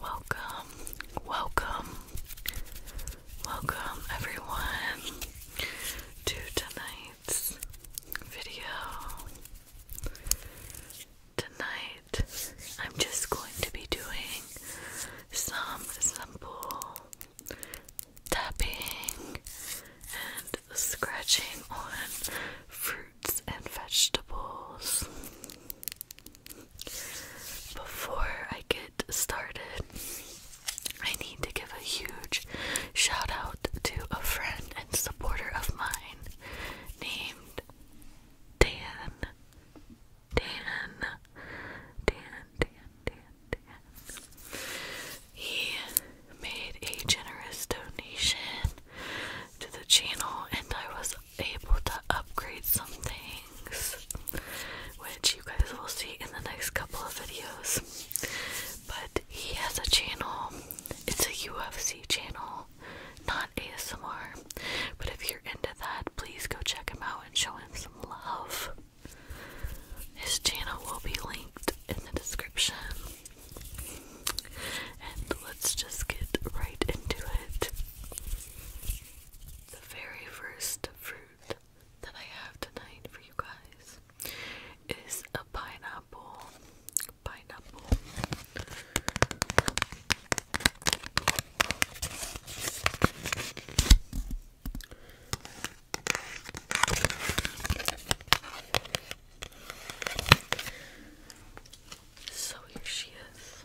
Welcome, welcome, welcome everyone to tonight's video. Tonight, I'm just going to be doing some simple tapping and scratching on fruits and vegetables. Before I get started, I need to give a huge shout out to a friend and supporter of mine named Dan. Dan. Dan, Dan, Dan, Dan. He made a generous donation to the channel, and I was able to upgrade some things, which you guys will see in the next couple of videos. But he has a channel, it's a UFC channel, not ASMR. But if you're into that, please go check him out and show him some love. His channel will be linked in the description. And let's just get right into it. The very first fruit that I have tonight for you guys is a pineapple. Pineapple. So here she is.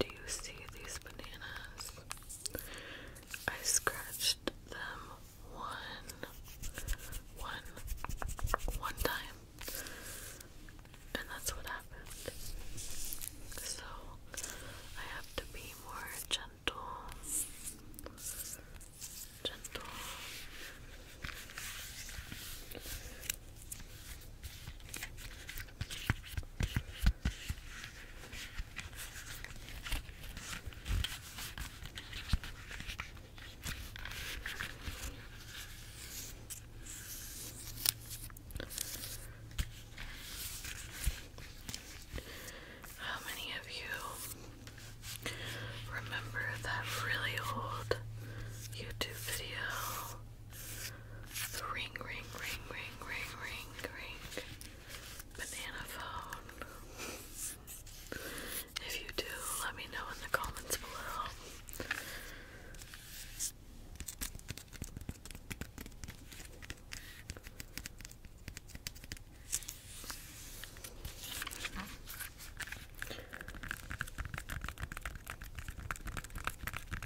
Do you see these bananas? I scratched them one, one, one time, and that's what happened. So I have to be more gentle, gentle. How many of you remember that really old YouTube video the ring, ring, ring, ring, ring, ring, ring. Banana phone. If you do, let me know in the comments below.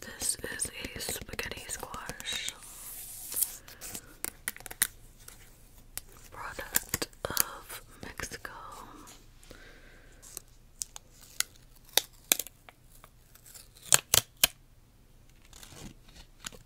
This is a spaghetti squash product of Mexico.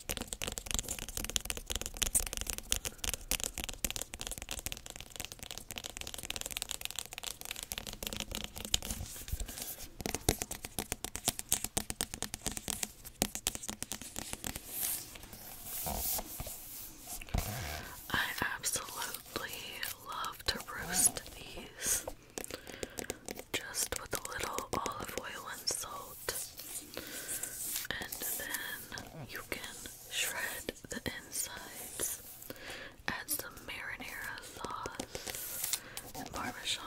I absolutely love to roast these just with a little olive oil and salt. And then you can shred the insides, add some marinara sauce and parmesan.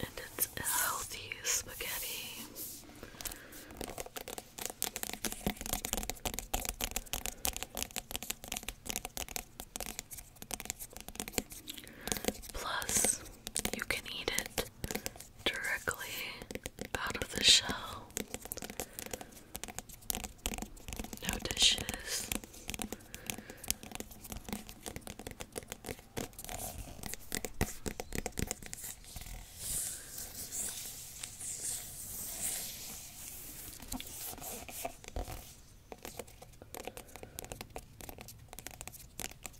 And it's healthy spaghetti. Plus, you can eat it directly out of the shell. No dishes.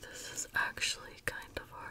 This is actually kind of hard.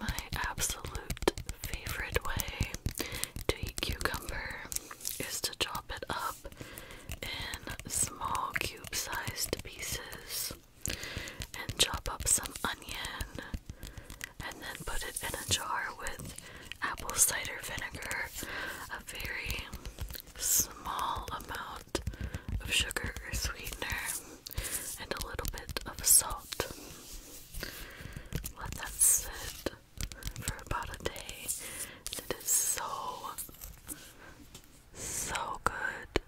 My absolute favorite way to eat cucumber is to chop it up in small cube sized pieces and chop up some onion and then put it in a jar with apple cider vinegar, a very small amount of sugar or sweetener and a little bit of salt. Let that sit for about a day. It is so, so good.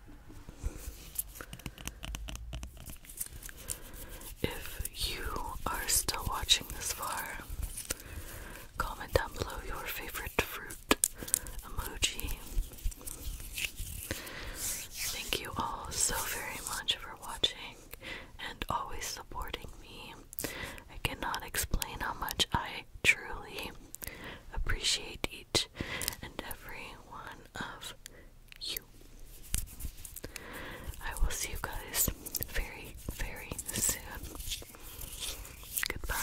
If you are still watching this far, comment down below your favorite fruit emoji Thank you all so very much for watching and always supporting me. I cannot explain how much I truly appreciate each and every one of you. I will see you guys very, very soon. Goodbye.